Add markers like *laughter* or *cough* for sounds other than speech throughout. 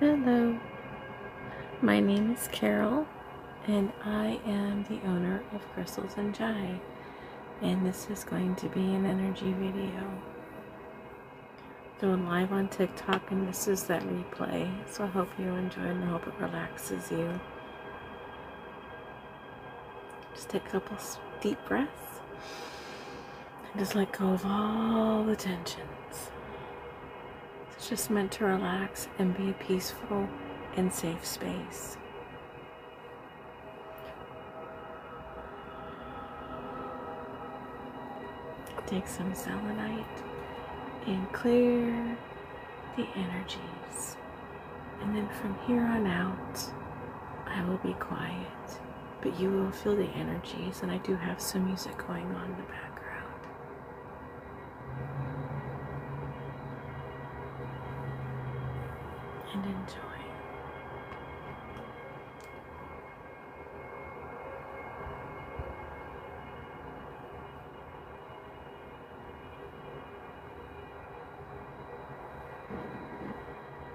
Hello, my name is Carol, and I am the owner of Crystals and Jai, and this is going to be an energy video. Doing live on TikTok, and this is that replay, so I hope you enjoy and I hope it relaxes you. Just take a couple deep breaths and just let go of all the tensions. It's just meant to relax and be a peaceful and safe space. Take some selenite and clear the energies. And then from here on out, I will be quiet but you will feel the energies, and I do have some music going on in the background. And enjoy.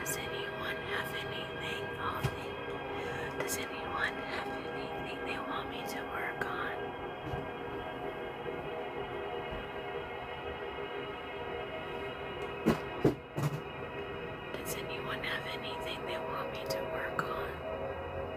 Does anyone have anything? Does anyone have anything they want me to work on? Does anyone have anything they want me to work on?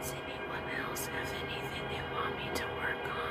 Does anyone else have anything they want me to work on?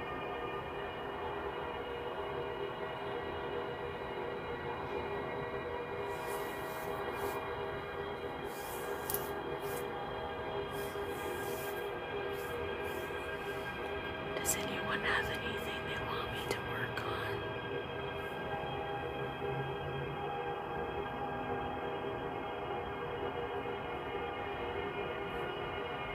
Does anyone have anything they want me to work on?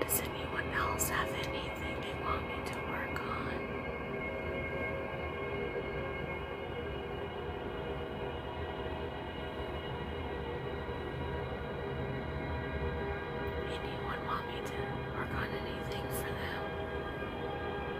Does anyone else have anything they want me to work on? Anyone want me to work on anything for them?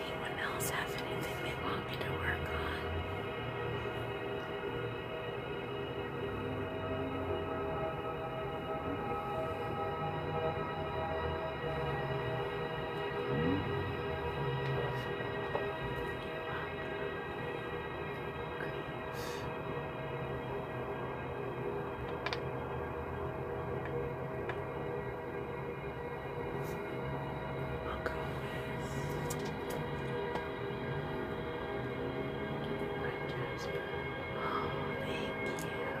Anyone else have anything they want? want me to work on? You're welcome. Great. Welcome. Right, Jasper. Oh, thank you. Thank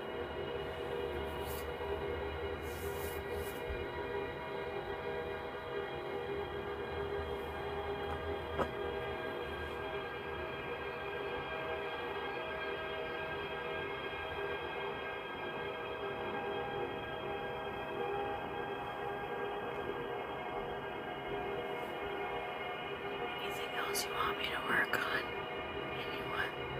Anything else you want me to work on? Anyone?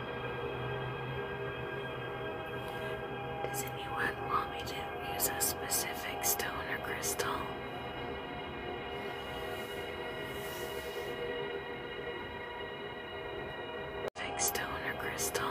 Does anyone want me to use a specific stone or crystal? Specific stone or crystal?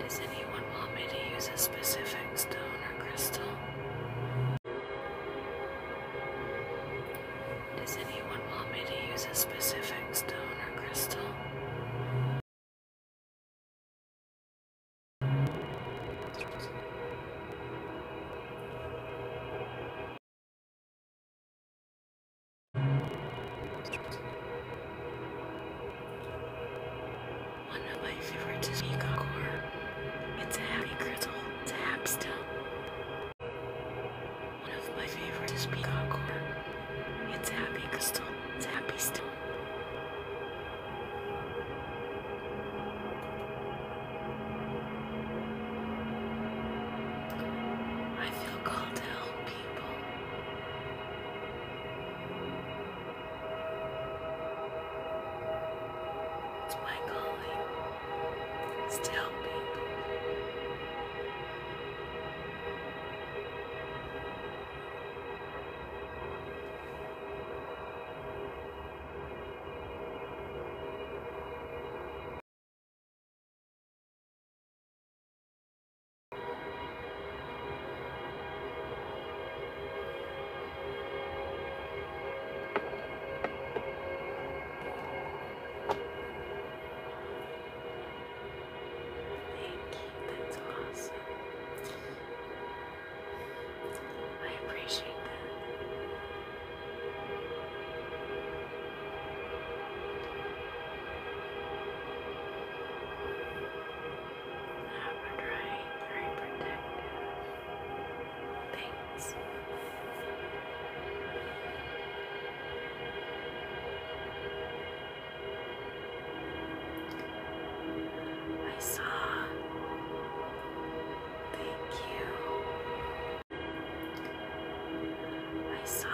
Does anyone want me to use a specific stone or crystal? Does anyone want me to use a specific stone or crystal? One of my favorites is peacock horn. It's a happy crystal. It's a hap still. One of my favorites is peacock horn. It's a happy crystal. It's a happy still. I feel called to help people. It's my calling. It's to that's awesome. I appreciate that. Not drying, very protective things. I saw. Thank you. I saw.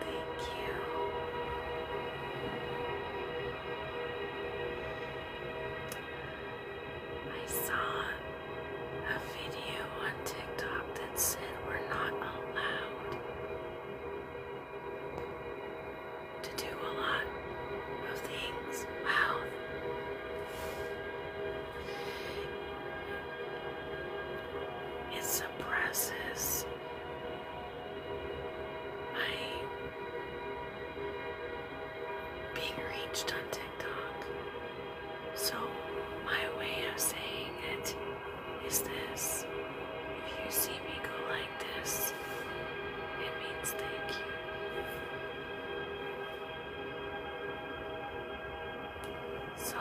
Thank you. I saw a video on TikTok that said we're not allowed to do a lot of things. Wow. It suppresses my being reached on TikTok. So, my way of saying it is this if you see me go like this, it means thank you. So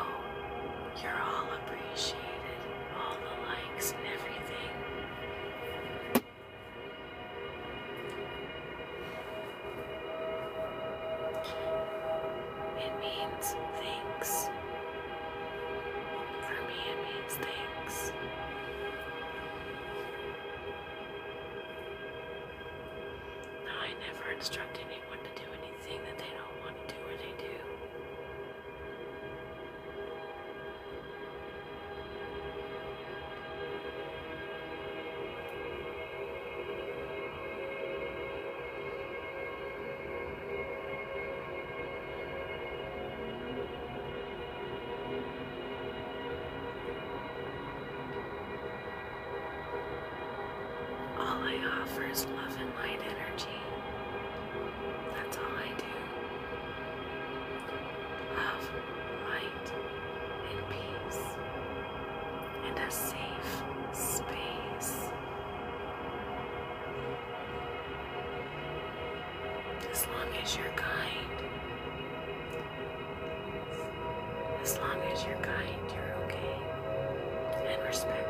you're all appreciated, all the likes and everything. It means thanks. For me, it means thanks. I never instruct anyone to do anything that they don't want to do or they do. All I offer is love and light energy. That's all I do. Love, light, and peace, and a safe space. As long as you're kind, as long as you're kind, you're okay and respectful.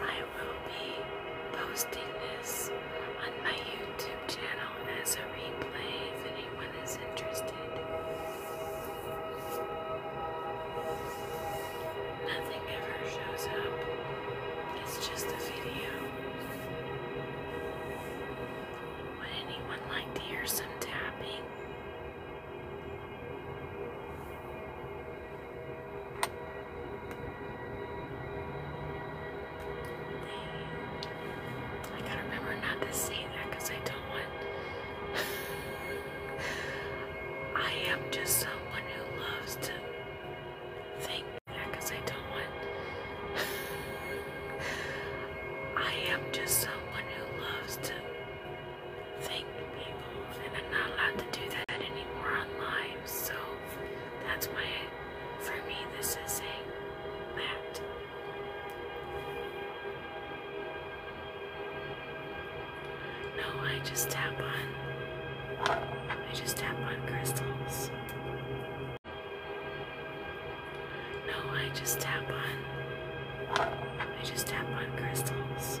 I will be posting this on my YouTube channel as a replay if anyone is interested. Nothing ever shows up, it's just a video. Would anyone like to hear some tapping? I gotta remember not to say that I don't want. *laughs* I am just someone who loves to think that I don't want. *laughs* I am just someone who loves to think, people, and I'm not allowed to do that anymore on live. So that's why, for me, this is saying that. No, I just tap on. I just tap on crystals. No, I just tap on. I just tap on crystals.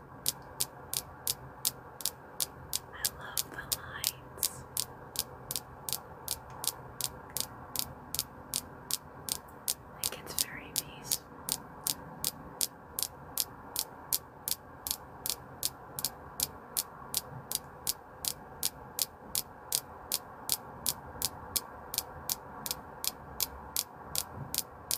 I love the lights. It gets very peaceful.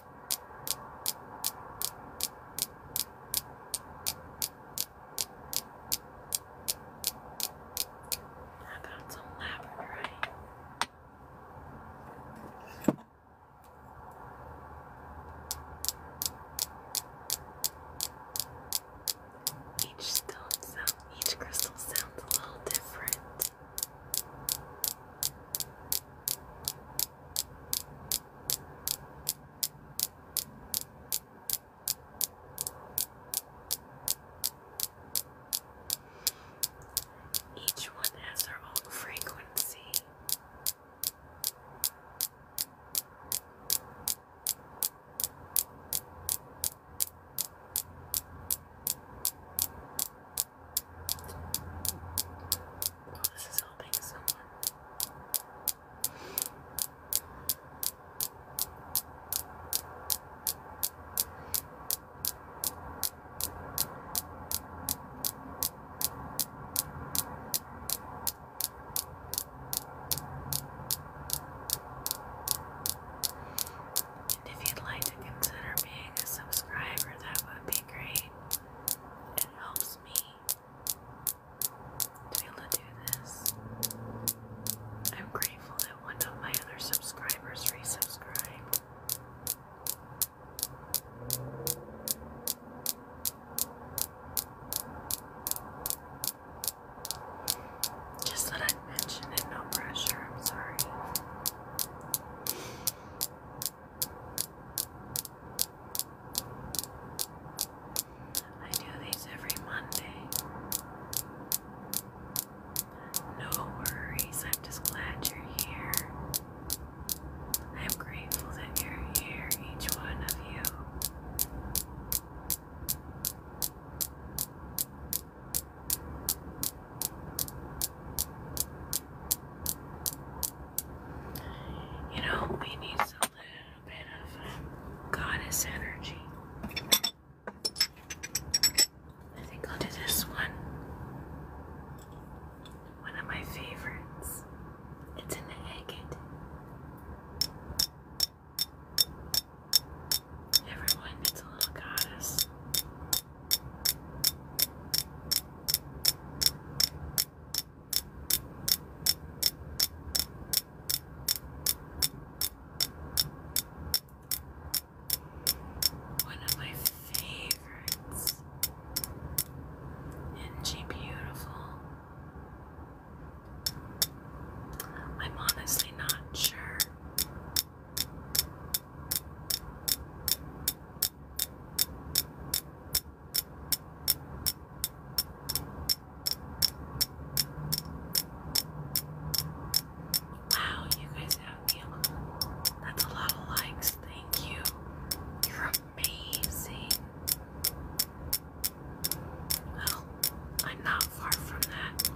I got some labradorite. Each stone sound, each crystal sounds a little different. Each one has their own frequency. Oh, this is filming And if you'd like to consider being a subscriber, that would be great. It helps me to be able to do this. I'm grateful that one of my other subscribers resubscribed. Just that I mentioned it, no pressure, I'm sorry. I do these every Monday. No worries, I'm just glad you're here. I'm grateful that you're here, each one of you. You know, we need a little bit of um, goddess energy. I think I'll do this one. One of my favorites. It's an agate. Everyone needs a little goddess. One of my favorites. And she beautiful. I'm honestly not sure. Wow, you guys have me. That's a lot of likes. Thank you. You're amazing. Well, I'm not far from that.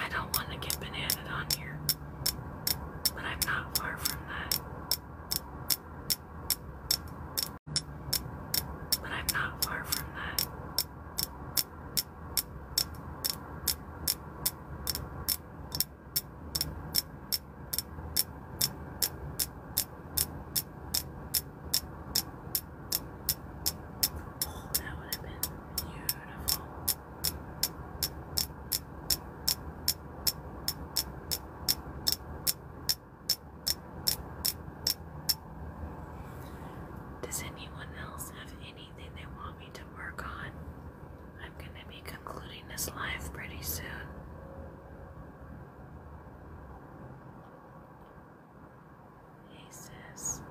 I don't want to get bananaed on here, but I'm not far from that. But I'm not far from that. Oh, that would have been beautiful. Does anyone else have anything they want me to work on? I'm going to be concluding this live pretty soon. He says,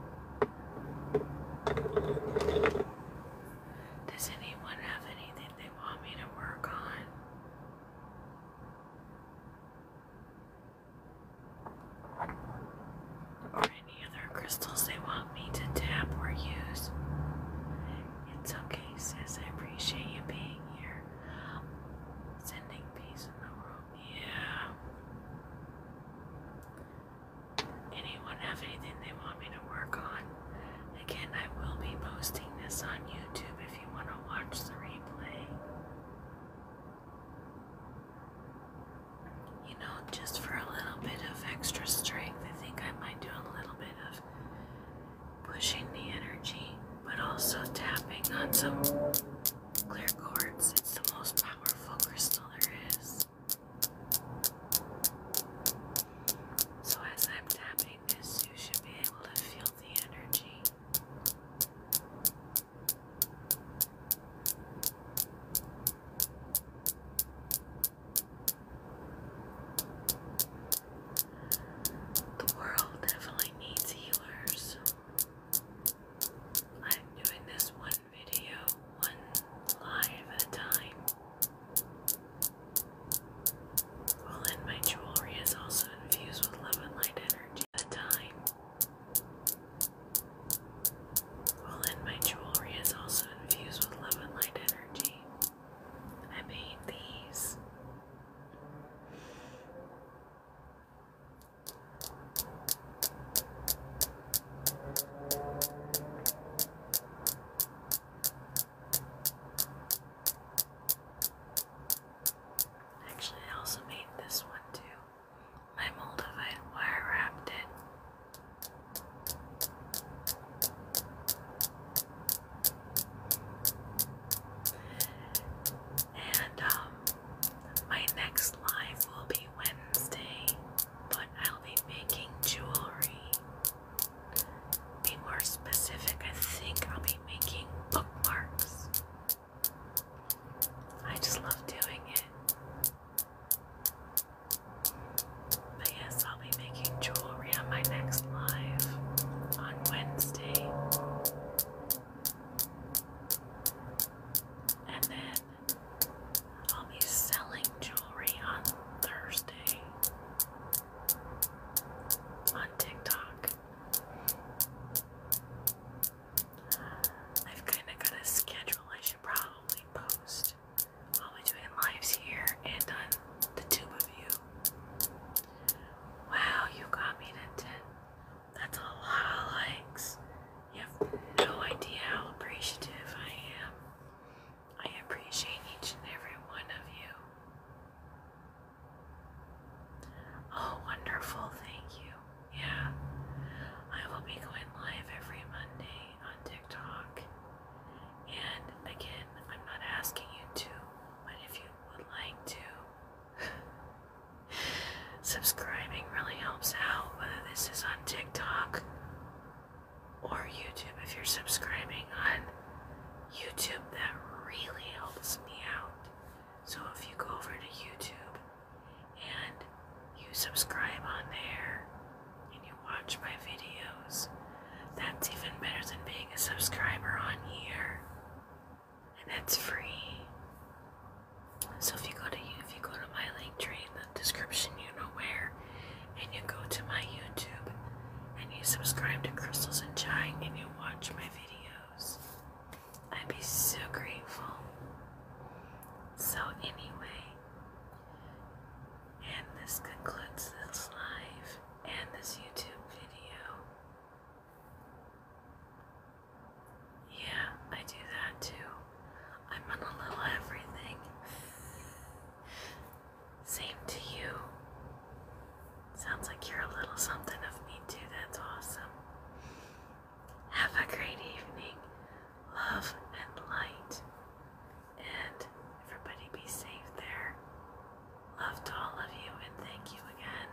Does anyone have anything they want me to work on. Or any other crystals they want me to tap or use. It's okay, sis. I appreciate you being here. Sending peace in the room. Yeah. Anyone have anything they want me to work on? Again, I will be posting this on YouTube if you want to watch the replay. You know, just for a little bit of extra strength, I think I might do a little bit of pushing the energy, but also tapping on some clear quartz. It's the most powerful crystal there is. So as I'm tapping, you should be able to feel the energy. The world definitely needs healers. I'm doing this one video, one live at a time. All in my jewelry is also infused with love and light energy at the time. Well, and my jewelry is also infused with love and light energy. I made these. Actually, I also made this one too. My Moldavite wire wrapped it. And um, my next live will be Wednesday, but I'll be making jewelry be more specific, I think I'll be making bookmarks. I just love doing it. But yes, I'll be making jewelry on my next live on Wednesday. And then I'll be selling jewelry on Thursday on TikTok. I've kind of got a schedule I should probably post. I'll be doing lives here and on the two of you. Wow, you got me to 10. That's a lot of likes. You have no idea how appreciative I am. I appreciate each and every one of you. Oh, wonderful, thank you. Yeah, I will be going live every Monday on TikTok. And again, I'm not asking you to, but if you would like to, *laughs* subscribing really helps out, whether this is on TikTok or YouTube. If you're subscribing on YouTube, that really helps me out. So if you go over to YouTube and you subscribe on there and you watch my videos, that's even better than being a subscriber on here. And it's free. So if you go to if you go to my link tree in the description, you know where and you go to my YouTube and you subscribe to Crystals and Chai and you watch my videos, I'd be so grateful. So, anyway, and this concludes this live and this YouTube video. Yeah, I do that too. I'm gonna little everything. *laughs* Same to you. Sounds like you're a little something of me, too. That's awesome. Have a great evening. Love and light. And everybody be safe there. Love to all of you, and thank you again.